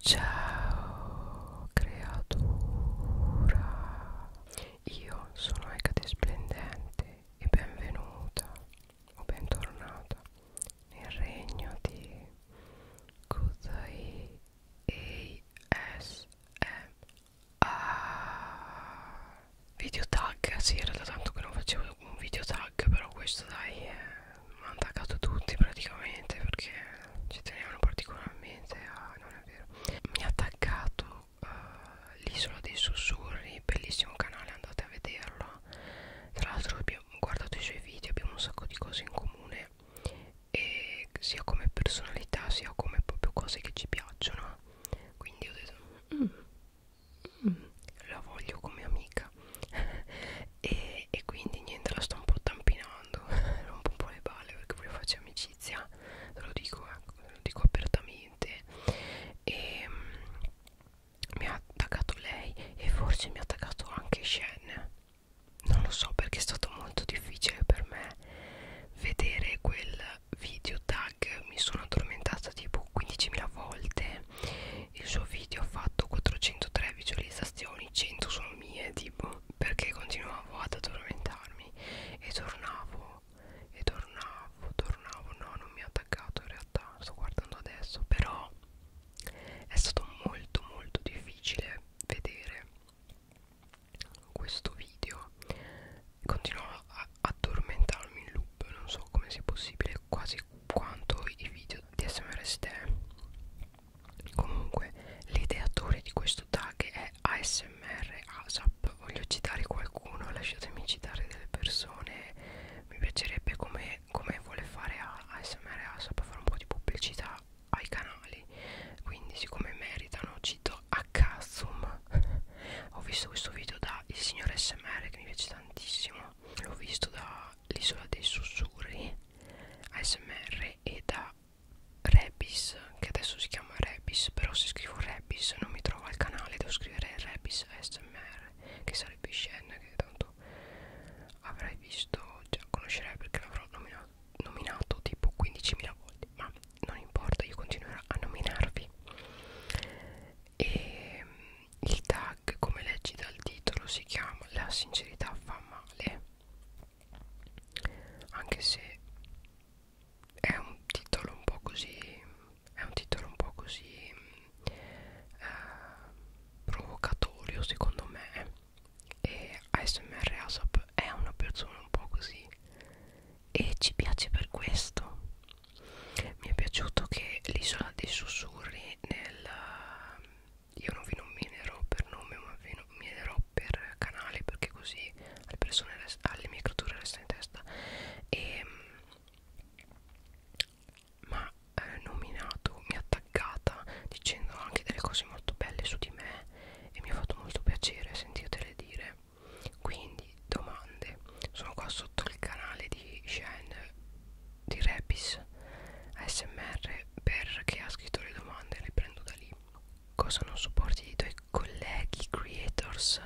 Ciao creatura, io sono Ecate Splendente e benvenuta o bentornata nel regno di Kuzai ASMR Video tag, sì era da tanto che non facevo un video tag però questo dai è eh, hanno attaccato tutti praticamente perché ci tenevano particolarmente a non è vero mi ha attaccato uh, l'isola dei sussurri bellissimo canale andate a vederlo tra l'altro abbiamo guardato i suoi video abbiamo un sacco di cose in comune e sia come personalità sia come proprio cose che ci piacciono quindi ho detto mm, mm, la voglio come amica e, e quindi niente la sto un po' tampinando rompo un po' le balle perché poi faccio amicizia te lo dico, eh, lo dico apertamente e ehm, mh, mi ha attaccato lei e forse mi ha attaccato anche Shen non lo so perché è stato molto difficile per me vedere quel video tag mi sono addormentata tipo 15.000 volte il suo video ha fatto 403 visualizzazioni 100 sono mie tipo perché continuavo ad addormentarmi e tornavo e tornavo tornavo no non mi ha attaccato in realtà sto guardando adesso però è stato molto molto difficile vedere questo video continuavo a addormentarmi in loop non so come sia possibile quasi quanto i video di smr ste comunque l'ideatore di questo tag è ASMR ASAP voglio citare qualcuno lasciatemi citare delle persone mi piacerebbe come, come vuole fare ASMR ASAP fare un po' di pubblicità ai canali quindi siccome meritano cito Akazum ho visto questo video da il signor SMR che mi piace tantissimo l'ho visto da l'isola dei sussurri ASMR e da Rebis che adesso si chiama Rebis però se scrivo Rebis non mi trovo al canale devo scrivere Rebis ASMR che sarebbe Shen che tanto avrai visto già conoscerai perché l'avrò nominato, nominato tipo 15.000 volte ma non importa io continuerò a nominarvi e ehm, il tag come leggi dal titolo si chiama la sincerità fa male anche se è un titolo un po' così è un titolo un po' così eh, provocatorio secondo me e ASMR ASAP è una persona un po' così e ci piace per questo mi è piaciuto che l'isola dei sussurri nel io non vi nominerò per nome ma vi nominerò per canale perché così alle persone alle ah, microture resta in testa e ehm, ma eh, nominato mi ha attaccata dicendo anche delle cose molto belle su di me e mi ha fatto molto piacere sentirtele dire quindi domande sono qua sotto il canale di Shen di Repis ASMR perché ha scritto le domande le prendo da lì cosa non sopporti dei tuoi colleghi creators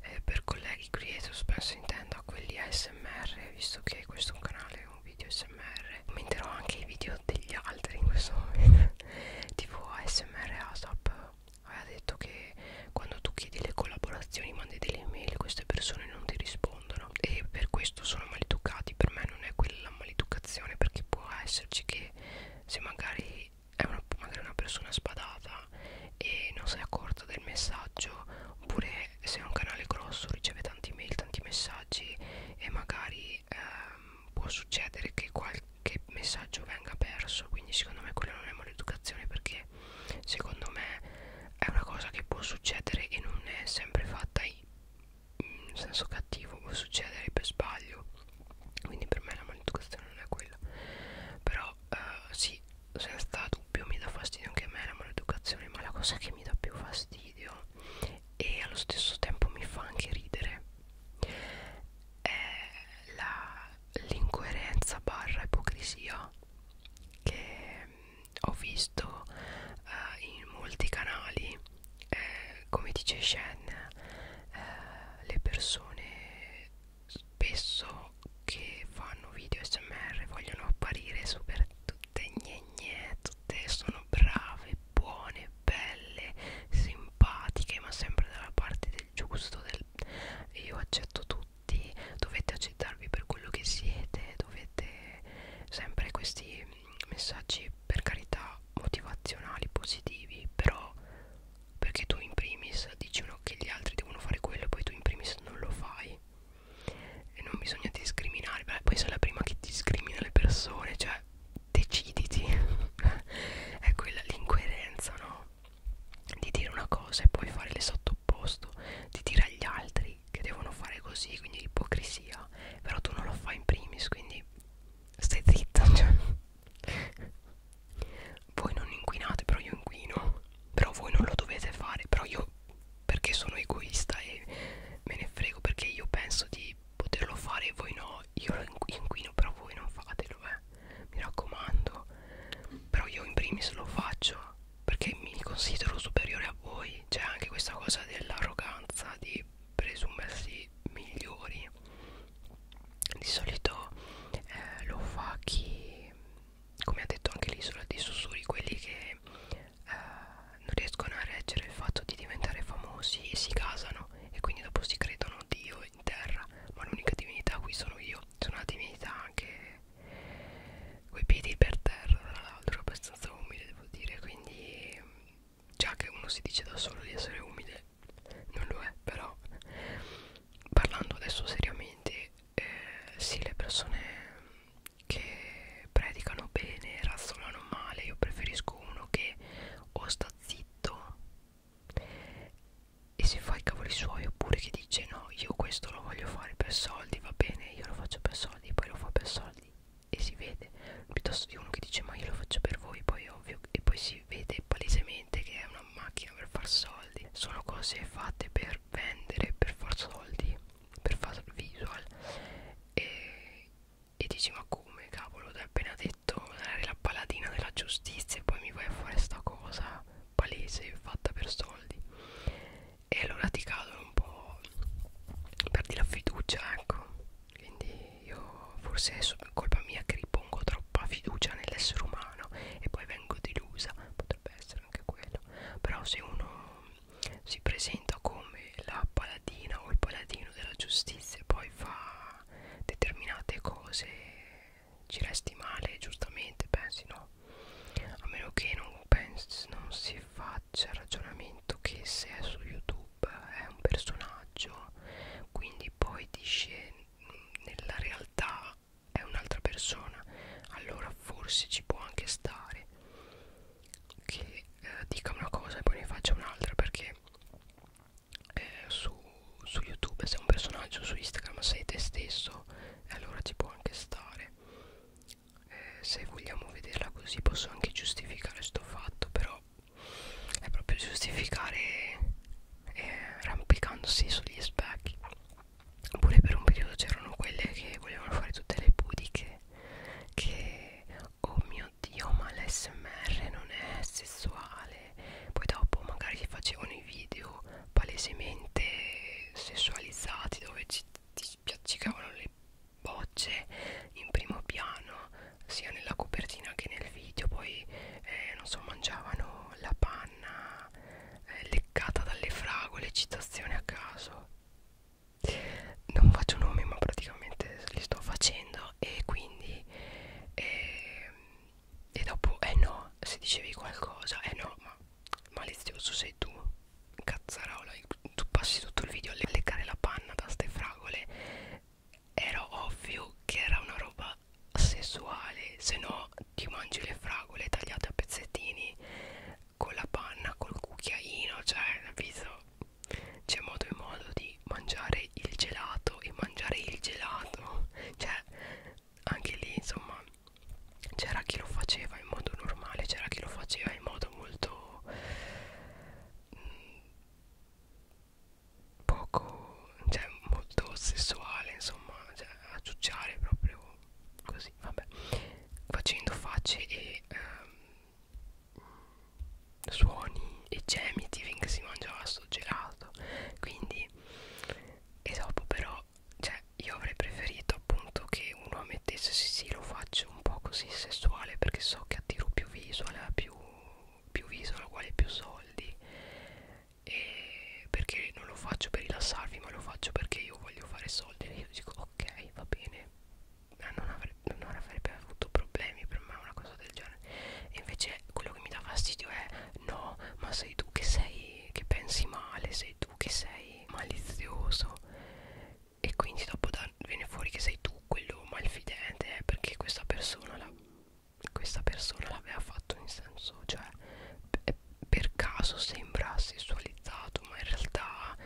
eh, per colleghi creators penso intendo a quelli ASMR visto che questo è un canale un video ASMR commenterò anche i video degli altri in questo momento tipo ASMR ASAP aveva detto che quando tu chiedi le collaborazioni mandi delle email queste persone non ti rispondono piacciono e per questo sono maleducati per me non è quella maleducazione perché può esserci che se magari è una, magari una persona spadata e non si è accorta del messaggio oppure se è un canale grosso riceve tanti mail tanti messaggi e magari ehm, può succedere che qualche messaggio venga perso quindi secondo me quella non è maleducazione perché secondo me è una cosa che può succedere e non è sempre fatta in in senso cattivo può succedere per sbaglio quindi per me la maleducazione non è quella però eh, sì senza dubbio mi dà fastidio anche a me la maleducazione ma la cosa che mi dà più fastidio e allo stesso tempo mi fa anche ridere è l'incoerenza barra ipocrisia che ho visto eh, in molti canali eh, come dice Shen eh, le persone spesso che fanno video smr vogliono apparire super tutte gnegne tutte sono brave buone belle simpatiche ma sempre dalla parte del giusto del io accetto tutti dovete accettarvi per quello che siete dovete sempre questi messaggi per carità motivazionali positivi però perché tu in primis dici uno che gli altri devono fare quello e poi tu in primis non lo fai e non bisogna discriminare Beh, poi sei la prima che discrimina le persone cioè deciditi è quella ecco, l'incoerenza no di dire una cosa e poi fare l'esatto opposto di dire agli altri che devono fare così, quindi l'ipocrisia. Però tu non lo fai in primis, quindi stai zitta. Cioè. voi non inquinate, però io inquino. Però voi non lo dovete fare, però io perché sono egoista e me ne frego perché io penso di poterlo fare e voi no. Io lo inquino, però voi non fatelo, eh. Mi raccomando. Però io in primis lo faccio perché mi considero superiore a voi c'è anche questa cosa dell'arroganza di presumersi migliori di solito eh, lo fa chi come ha detto anche l'isola dei sussurri quelli che eh, non riescono a reggere il fatto di diventare famosi e si casano e quindi dopo si credono Dio in terra ma l'unica divinità qui sono io sono una divinità anche coi piedi per terra tra l'altro abbastanza umile devo dire quindi già che uno si dice da solo di essere umile non lo è però parlando adesso seriamente eh, sì le persone che predicano bene razzolano male io preferisco uno che o sta zitto e si fa i cavoli suoi oppure che dice no io questo lo voglio fare per soldi va bene io lo faccio per soldi soldi e poi lo fa per soldi e si vede piuttosto di uno che dice ma io lo faccio per voi poi ovvio e poi si vede palesemente che è una macchina per far soldi sono cose fatte per vendere per far soldi per far visual e, e dici ma come cavolo l'ho appena detto eri la paladina della giustizia e poi mi vai a fare sta cosa palese fatta per soldi e allora ti cadono un po' perdi la fiducia ecco quindi io forse è colpa mia che ripongo troppa fiducia nell'essere umano e poi vengo delusa potrebbe essere anche quello però se uno si presenta come la paladina o il paladino della giustizia e poi fa determinate cose ci resti male giustamente pensi no a meno che non, pensi, non si faccia il ragionamento che se è su youtube eh, è un personaggio quindi poi dice mm, nella realtà è un'altra persona allora forse ci può anche stare che eh, dica una cosa e poi ne faccia un'altra perché eh, su, su youtube se è un personaggio su instagram sei te stesso allora ci può anche stare eh, se vogliamo vederla così posso anche giustificare sto fatto però è proprio giustificare eh, rampicandosi sugli specchi oppure per un periodo c'erano quelle che volevano fare tutte le pudiche che oh mio dio ma l'SMR non è sessuale poi dopo magari si facevano i video palesemente sessualizzati dove ci, ti, spiaccicavano le bocce in primo piano sia nella copertina che nel video poi eh, non so mangiavano la panna eh, leccata dalle fragole citazione a caso non faccio nomi ma praticamente li sto facendo e quindi eh, e dopo eh no se dicevi qualcosa eh no ma malizioso sei tu cazzarola tu passi tutto il video a leccare la panna da ste fragole era ovvio che era una roba sessuale se no ti mangi le fragole tagliate a pezzettini con la panna col cucchiaino cioè capito c'è modo e modo di mangiare il gelato e mangiare il gelato cioè anche lì insomma c'era chi lo faceva in modo normale c'era chi lo faceva in modo molto mh, mm, poco cioè molto sessuale insomma cioè, a ciucciare proprio così vabbè facendo facce e ehm, suoni e gemiti finché si mangiava sto gelato quindi e dopo però cioè io avrei preferito appunto che uno ammettesse sì sì lo faccio un po' così sessuale perché so che attiro più visual più, più visual uguale più soldi e perché non lo faccio per rilassarvi ma lo faccio perché io voglio fare soldi e io dico ok va bene ma non, avre non avrebbe avuto problemi per me una cosa del genere e invece quello che mi dà fastidio è no ma sei tu che sei che pensi male sei tu che sei sei malizioso e quindi dopo da, viene fuori che sei tu quello malfidente eh, perché questa persona la, questa persona l'aveva fatto in senso cioè per caso sembra sessualizzato ma in realtà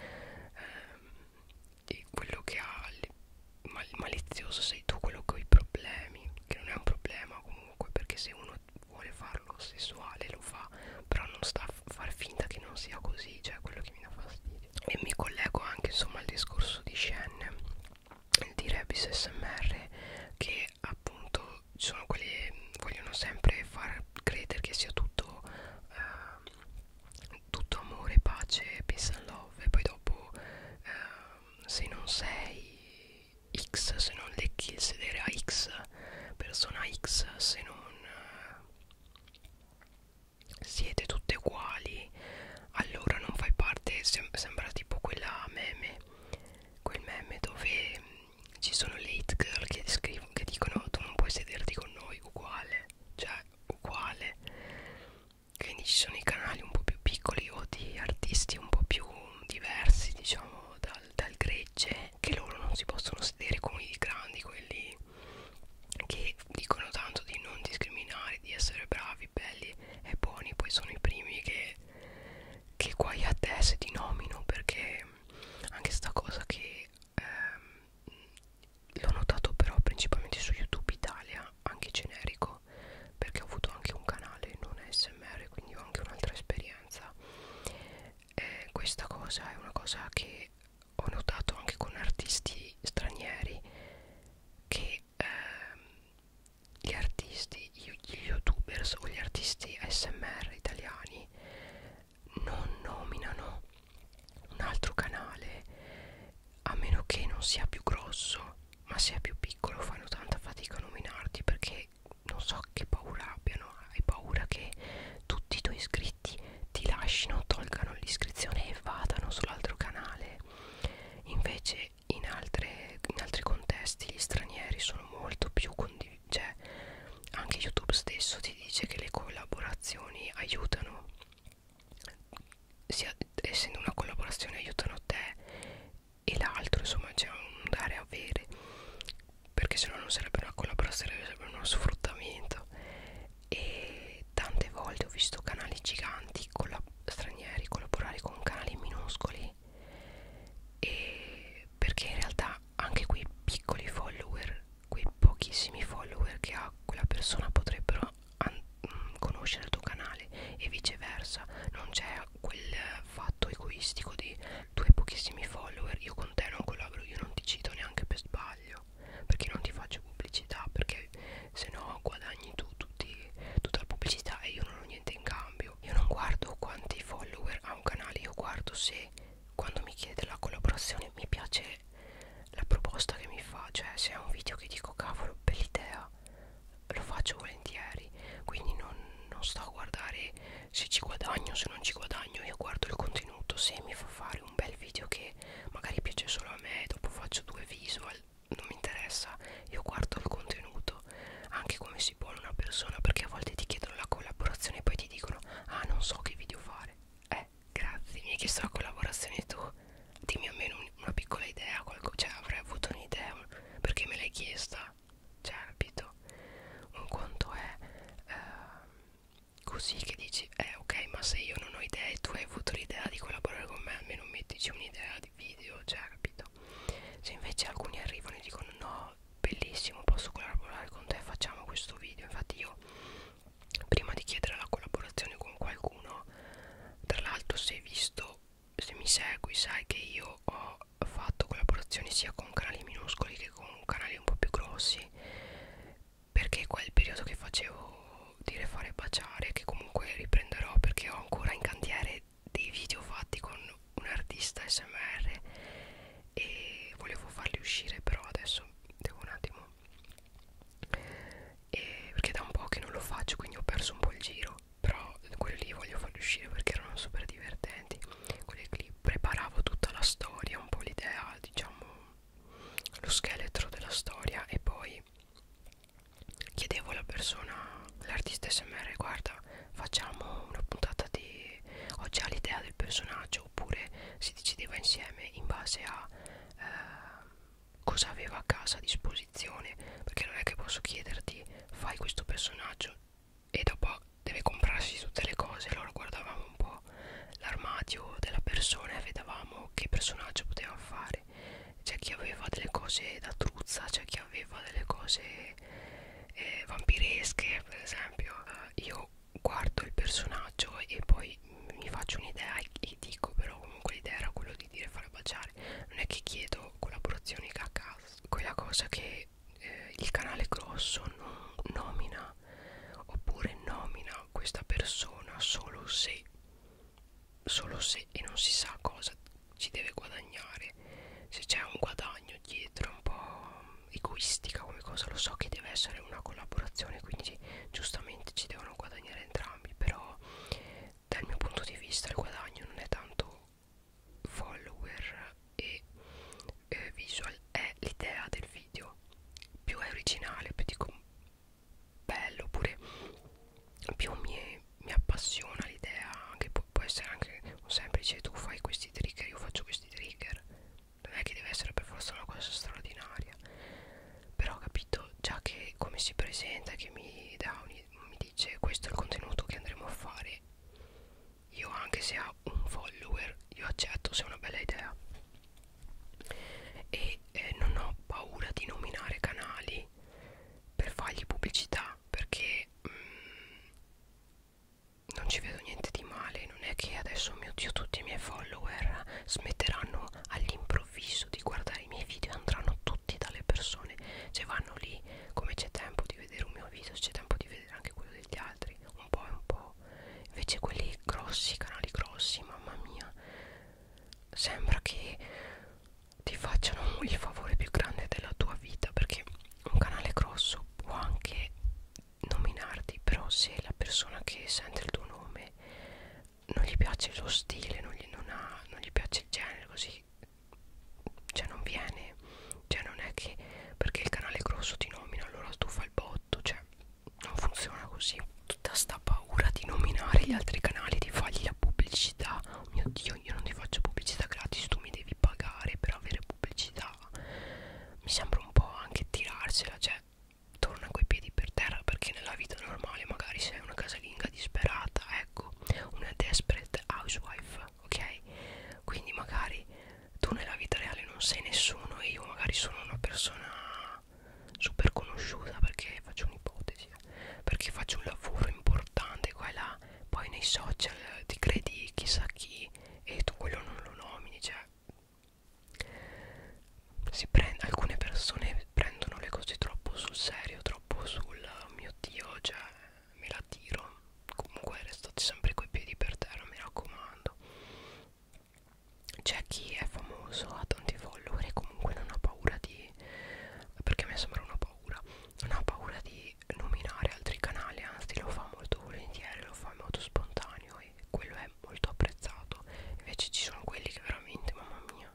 ehm, quello che ha il mal, malizioso sei tu quello con i problemi che non è un problema comunque perché se uno vuole farlo sessuale lo fa però non sta a far finta che non sia così cioè quello che mi dà fastidio e mi collego anche insomma al discorso di Shen di Rebis SMR che appunto sono quelli vogliono sempre far credere che sia tutto eh, tutto amore, pace, peace and love e poi dopo eh, se non sei X se non lecchi il sedere a X persona X se non eh, siete tutte uguali allora non fai parte sem sembra tipo quella meme quel meme dove mm, ci sono le hit girl che, che dicono tu non puoi sederti con noi uguale cioè uguale quindi ci sono i canali un po' più piccoli o di artisti un po' più diversi diciamo dal, dal gregge che loro non si possono sedere come i grandi quelli che dicono tanto di non discriminare di essere bravi, belli e buoni poi sono i primi che che guai a te se ti nomino perché anche sta cosa che ehm, l'ho notato però principalmente su youtube italia anche generico perché ho avuto anche un canale non smr quindi ho anche un'altra esperienza eh, questa cosa è una cosa che ho notato anche con artisti stranieri che ehm, gli artisti, gli youtubers o gli artisti smr italiani non nominano un altro canale a meno che non sia più grosso ma sia più piccolo fanno tanta fatica a nominarti perché non so che paura abbiano, hai paura che tutti i tuoi iscritti ti lasciano, tolgano l'iscrizione e vadano sull'altro canale. Invece in, altre, in altri contesti gli stranieri sono molto più condivisi. Cioè, anche YouTube stesso ti dice che le collaborazioni aiutano, sia, essendo una collaborazione aiutano te e l'altro, insomma c'è un dare a avere perché se no non sarebbe una collaborazione sarebbe uno sfruttamento e tante volte ho visto canali giganti collab stranieri collaborare con canali minuscoli e perché in realtà anche quei piccoli follower quei pochissimi follower che ha quella persona potrebbero mm, conoscere il tuo canale e viceversa non c'è quel fatto egoistico di tu hai pochissimi follower, io con te non collaboro, io non ti cito neanche per sbaglio, perché non ti faccio pubblicità, perché se no guadagni tu tutti, tutta la pubblicità e io non ho niente in cambio. Io non guardo quanti follower ha un canale, io guardo se quando mi chiede la collaborazione mi piace la proposta che mi fa, cioè se è un video che dico cavolo, bell'idea, lo faccio volentieri, quindi non, non sto a guardare se ci guadagno se non ci guadagno io guardo il contenuto se mi fa fare un bel video che magari piace solo a me dopo faccio due visual non mi interessa io guardo il contenuto anche come si pone una persona perché a volte ti chiedono la collaborazione e poi ti dicono ah non so che video fare eh grazie mi hai chiesto la collaborazione tu dimmi almeno una piccola idea qualcosa cioè avrei avuto un'idea perché me l'hai chiesta Cerbito cioè, un conto è eh, così che dici eh ok ma se io non ho idee tu hai avuto l'idea di collaborare con me almeno mettici un'idea di video Cerbito cioè, se invece alcuni arrivano e dicono no bellissimo posso collaborare con te facciamo questo video infatti io prima di chiedere la collaborazione con qualcuno tra l'altro se hai visto se mi segui sai che io ho fatto collaborazioni sia con canali minuscoli che con canali un po' più grossi perché quel periodo che facevo dire fare baciare che comunque riprenderò perché ho ancora in cantiere dei video fatti con un artista smr e volevo farli uscire però adesso devo un attimo e perché da un po' che non lo faccio quindi ho perso un po' il giro però quelli lì voglio farli uscire perché erano super divertenti quelle clip preparavo tutta la storia un po' l'idea diciamo lo scheletro della storia e poi chiedevo alla persona l'artista smr guarda facciamo una puntata di ho già l'idea del personaggio oppure si decideva insieme in base a eh, cosa aveva a casa a disposizione perché non è che posso chiederti fai questo personaggio e dopo deve comprarsi tutte le cose allora guardavamo un po' l'armadio della persona e vedevamo che personaggio poteva fare c'è chi aveva delle cose da truzza c'è chi aveva delle cose eh, vampiresche per esempio eh, io guardo il personaggio e poi mi faccio un'idea e dico però comunque l'idea era quello di dire fare baciare non è che chiedo collaborazioni a casa quella cosa che eh, il canale grosso non nomina oppure nomina questa persona solo se solo se e non si sa cosa ci deve guadagnare se c'è un guadagno dietro un po' egoistica come cosa lo so che deve essere una collaborazione quindi giustamente ci devono guadagnare entrambi però dal mio punto di vista il guadagno non è tanto follower e eh, visual è l'idea del video più è originale più dico bello oppure più mi, mi appassiona l'idea che può, può essere anche un semplice tu fai questi trigger io faccio questi trigger non è che deve essere per forza una cosa straordinaria però ho capito già che come si presenta che mi dà un, mi dice questo è il contenuto che andremo a fare io anche se ha un follower io accetto se è una bella idea e eh, non ho paura di nominare canali per fargli pubblicità perché mh, mm, non ci vedo niente di male non è che adesso mio dio tutti i miei follower smetteranno all'improvviso di guardare i miei video andranno tutti dalle persone cioè vanno lì come c'è tempo di vedere un mio video c'è tempo di vedere anche quello degli altri un po' e un po' invece quelli grossi, canali grossi, mamma mia sembra che ti facciano il favore più grande della tua vita perché un canale grosso può anche nominarti però se la persona che sente il tuo nome non gli piace lo stile non gli, non ha, non gli piace il genere così cioè non viene cioè non è che perché il canale grosso ti nomina allora tu fai il botto cioè non funziona così tutta sta paura di nominare gli altri canali di fargli la pubblicità oh mio dio io non ti faccio pubblicità gratis tu mi devi pagare per avere pubblicità mi sembra un po' anche tirarsela cioè torna coi piedi per terra perché nella vita normale magari sei una casalinga disperata ecco una desperate housewife ok? Quindi magari tu nella vita reale non sei nessuno e io magari sono una persona super conosciuta perché faccio un'ipotesi, eh. perché faccio un lavoro importante qua e là, poi nei social ti credi chissà chi e tu quello non lo nomini, cioè si prende, alcune persone prendono le cose troppo sul serio, troppo sul oh mio dio, cioè me la tiro comunque restate sempre coi piedi per terra mi raccomando c'è chi è famoso ha tanti follower e comunque non ha paura di perché a me sembra una paura non ha paura di nominare altri canali anzi lo fa molto volentieri lo fa in modo spontaneo e quello è molto apprezzato invece ci sono quelli che veramente mamma mia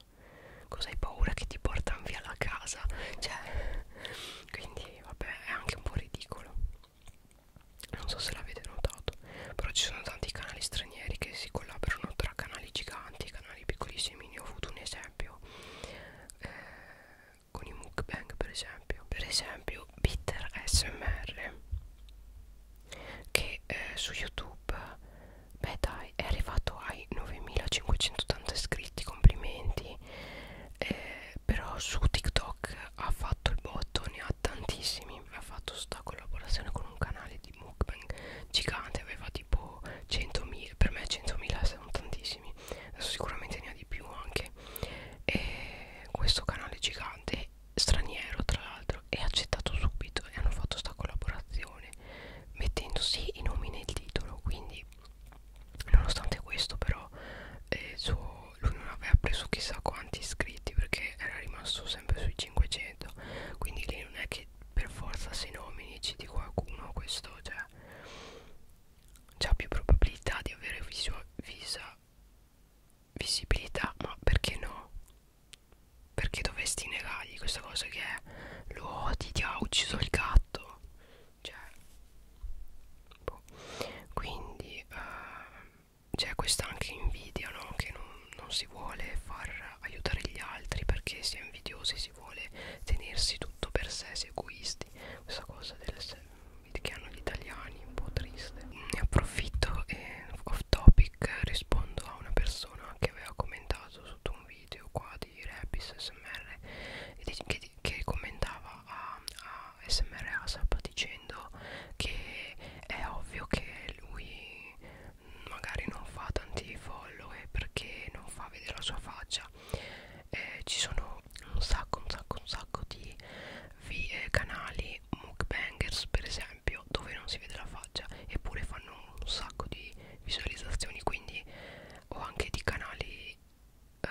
cosa hai paura che ti portano via la casa cioè quindi vabbè è anche un po' ridicolo non so se l'avete notato però ci sono tanti canali stranieri che si collaborano tra canali giganti e canali piccolissimi ne ho avuto un esempio eh, con i mukbang per esempio per esempio bitter smr che eh, su youtube beh dai è arrivato ai 9580 iscritti complimenti eh, però su TikTok ha fatto il botto, ne ha tantissimi, ha fatto sta collaborazione con un canale di mukbang gigante, aveva tipo 100.000, per me 100.000 sono tantissimi, adesso sicuramente ne ha di più anche, e questo canale gigante, straniero tra l'altro, è accettato subito e hanno fatto sta collaborazione mettendosi i nomi nel titolo, quindi Nonostante questo però eh, suo, lui non aveva preso chissà quanti iscritti perché era rimasto sempre sui 500 Quindi lì non è che per forza se nomini citi qualcuno questo cioè C'ha più probabilità di avere visua, visa, visibilità ma perché no? Perché dovresti negargli questa cosa che è Lo odi, ti ha ucciso il gatto cioè boh. quindi eh, c'è questa anche invidia no? che non, non si vuole far aiutare gli altri perché si è invidiosi si vuole tenersi tutto per sé si è egoisti questa cosa del che hanno gli italiani un po' triste ne approfitto e off topic rispondo a una persona che aveva commentato sotto un video qua di Rebis SMR che che commentava a, a SMR ASAP dicendo che è ovvio che lui magari non fa tanti follower perché non fa vedere la sua faccia eh, ci sono un sacco un sacco un sacco di eh, canali mukbangers per esempio dove non si vede la faccia eppure fanno un sacco di visualizzazioni quindi o anche di canali eh,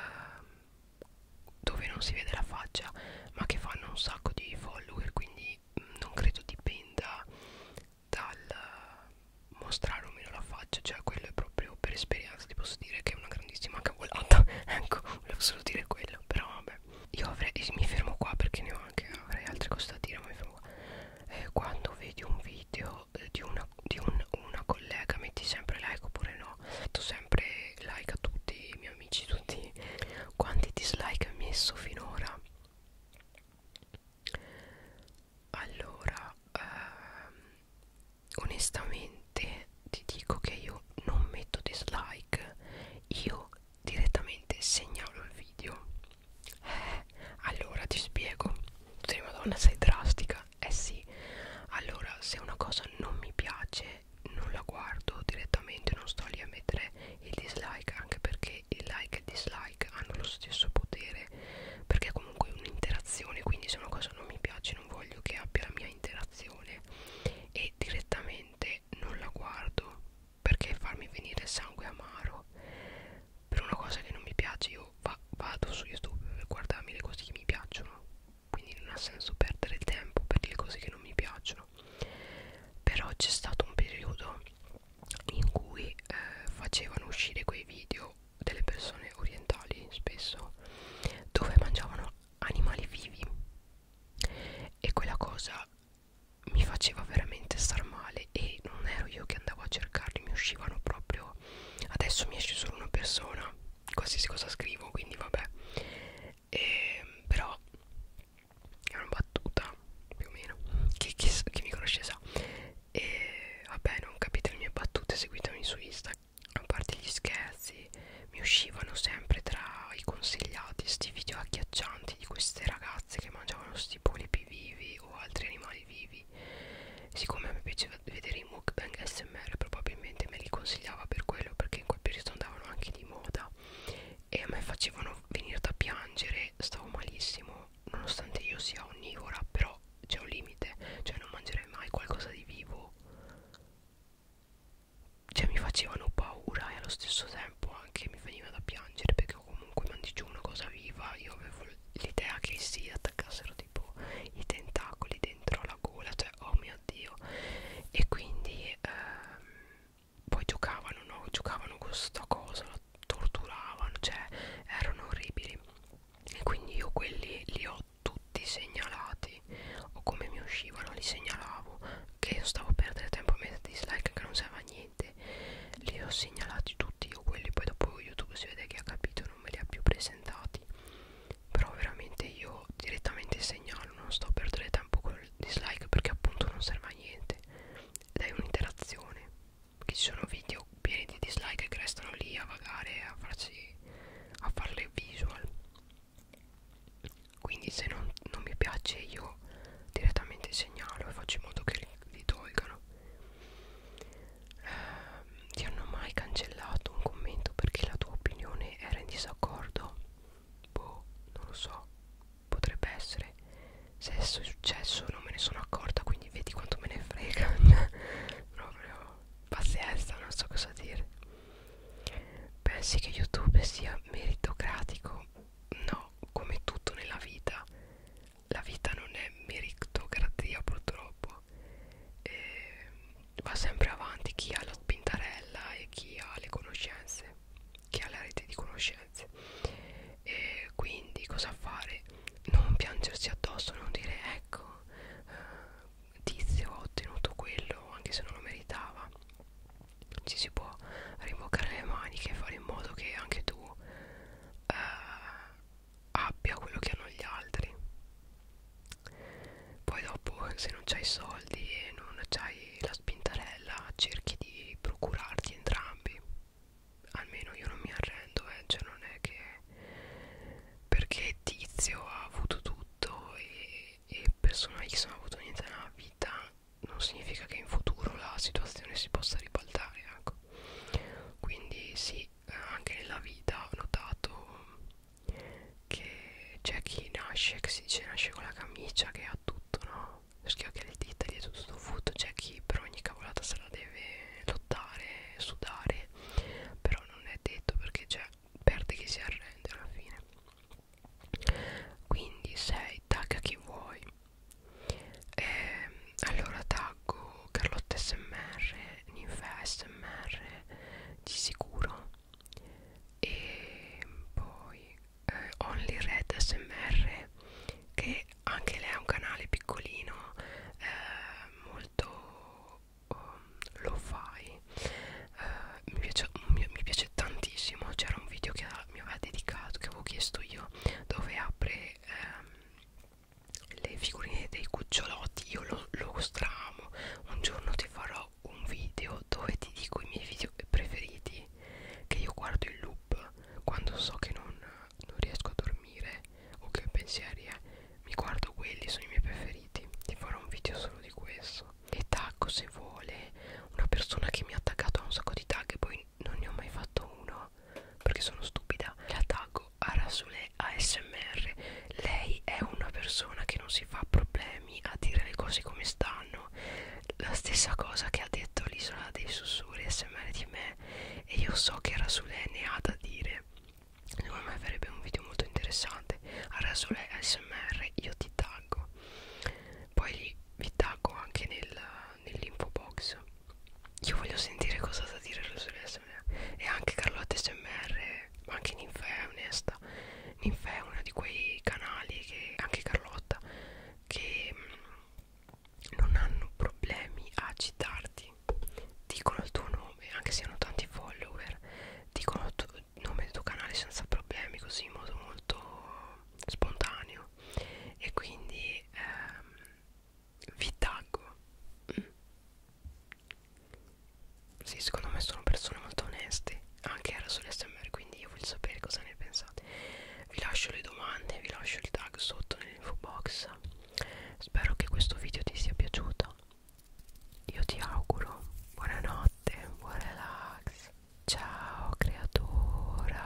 dove non si vede la faccia ma che fanno un sacco di follower quindi mm, non credo dipenda dal mostrare o meno la faccia cioè quello è proprio per esperienza ti posso dire che è una grandissima cavolata ecco volevo solo dire quello però vabbè io avrei mi fermo qua perché ne ho anche avrei altre cose da dire ma mi fermo qua eh, quando vedi un video video eh, di, una, di un, una collega metti sempre like oppure no metto sempre like a tutti i miei amici tutti quanti dislike hai messo finora allora ehm, onestamente ti dico che io non metto dislike io direttamente segnalo il video eh, allora ti spiego Madonna sei drastica eh sì, allora se una cosa non mi piace non la guardo direttamente, non sto lì a mettere il dislike, anche perché il like e il dislike hanno lo stesso potere, perché è comunque un'interazione, quindi se una cosa non mi piace non voglio che abbia la mia interazione e direttamente non la guardo perché farmi venire sangue amaro per una cosa che non mi piace io va, vado su youtube per guardarmi le cose che mi piacciono quindi non ha senso perdere il tempo per le cose che non mi piacciono però c'è stato un periodo in cui eh, facevano uscire quei video delle persone orientali spesso dove mangiavano animali vivi e quella cosa mi faceva veramente star male e, e non ero io che andavo a cercarli, mi uscivano proprio adesso mi esce solo una persona, qualsiasi cosa scrivo, quindi vabbè. E, ehm, però è una battuta più o meno. Chi, chi, chi mi conosce sa. E vabbè, non capite le mie battute, seguitemi su Insta. A parte gli scherzi, mi uscivano sempre tra i consigliati sti video agghiaccianti di queste ragazze che mangiavano sti polipi vivi o altri animali vivi lei siccome a me piaceva vedere i mukbang smr probabilmente me li consigliava per quello perché in quel periodo andavano anche di moda e a me facevano venire da piangere stavo malissimo nonostante io sia onnivora però c'è un limite cioè non mangerei mai qualcosa di vivo cioè mi facevano paura e allo stesso tempo anche mi veniva da piangere perché comunque mangi giù una cosa viva io avevo l'idea che si attaccassero tipo i tentacoli dentro la gola cioè oh mio dio e quindi ehm, poi giocavano no giocavano con sta cosa la torturavano cioè erano orribili e quindi io quelli li ho tutti segnalati o come mi uscivano li segnalavo che io stavo a perdere tempo a mettere dislike che non serve a niente li ho segnalati tutti io quelli poi dopo youtube si vede che ha capito non me li ha più presentati però veramente io direttamente segnalo non sto a perdere tempo con il dislike perché appunto non serve a niente ed è un'interazione che ci sono video pieni di dislike che restano lì a vagare a farsi a farle visual quindi se non, non mi piace io direttamente segnalo e faccio in modo che li, li tolgano ehm, ti hanno mai cancellato un commento perché la tua opinione era in disaccordo? Boh, non lo so, potrebbe essere. Se è successo non me ne sono accorta, quindi vedi quanto me ne frega. Proprio pazienza, non so cosa dire. Pensi che YouTube sia meritocratico? No, come tutto nella vita la vita non è meritocrazia purtroppo e va sempre avanti chi ha la spintarella e chi ha le conoscenze chi ha la rete di conoscenze e quindi cosa fare non piangersi addosso non dire ecco eh, tizio ho ottenuto quello anche se non lo meritava ci si può rimbocare le maniche e fare in modo che anche tu eh, abbia quello che hanno gli altri poi dopo se non c'hai soldi e non c'hai la spintarella cerchi di procurarti entrambi almeno io non mi arrendo eh. cioè non è che perché tizio ha avuto tutto e, e persona X non ha avuto niente nella vita non significa che in futuro la situazione si possa ribaltare ecco quindi sì eh, anche nella vita ho notato che c'è chi nasce che si dice cioè, nasce con la camicia che ha tutto no schiocchi le dita dietro tutto fotto c'è chi per ogni cavolata se la deve lottare sudare però non è detto perché c'è cioè, perde chi si arrende alla fine quindi sei tagga chi vuoi e, allora taggo Carlotta SMR, Ninfa SMR di sicuro e poi eh, Only Red SMR che anche lei ha un canale piccolino eh, molto um, lo fai eh, mi, piace, mi, mi piace tantissimo c'era un video che mi aveva dedicato che avevo chiesto io dove apre ehm, le figurine dei cucciolotti io lo, lo stramo un giorno ti farò un video dove ti dico i miei video preferiti che io guardo in loop quando so che non, non riesco a dormire o che ho pensieri eh, mi guardo quelli sono i miei preferiti ti farò un video solo di questo e tacco se vuole una persona che mi ha attaccato a un sacco di tag e poi non ne ho mai fatto uno perché sono stupida la taggo a Rasule ASMR lei è una persona che non si fa problemi a dire le cose come stanno la stessa cosa che ha detto l'isola dei sussurri ASMR di me e io so che Rasule ne ha da dire secondo me farebbe un video molto interessante a Rasule ASMR io ti taggo poi vi taggo anche nel nell'info box io voglio sentire cosa ha da dire Rosalia e anche Carlotta SMR ma anche Ninfea è onesta Ninfea è uno di quei canali che anche Carlotta che mh, mm, non hanno problemi a citarti dicono il tuo nome anche se hanno tanti follower dicono il, tuo, il nome del tuo canale senza problemi così in modo molto spontaneo e quindi ehm, vi taggo mm. sì secondo me sono persone molto oneste anche era sull'SMR quindi io voglio sapere cosa ne pensate vi lascio le domande vi lascio il tag sotto nell'info box spero che questo video ti sia piaciuto io ti auguro buonanotte buon relax ciao creatura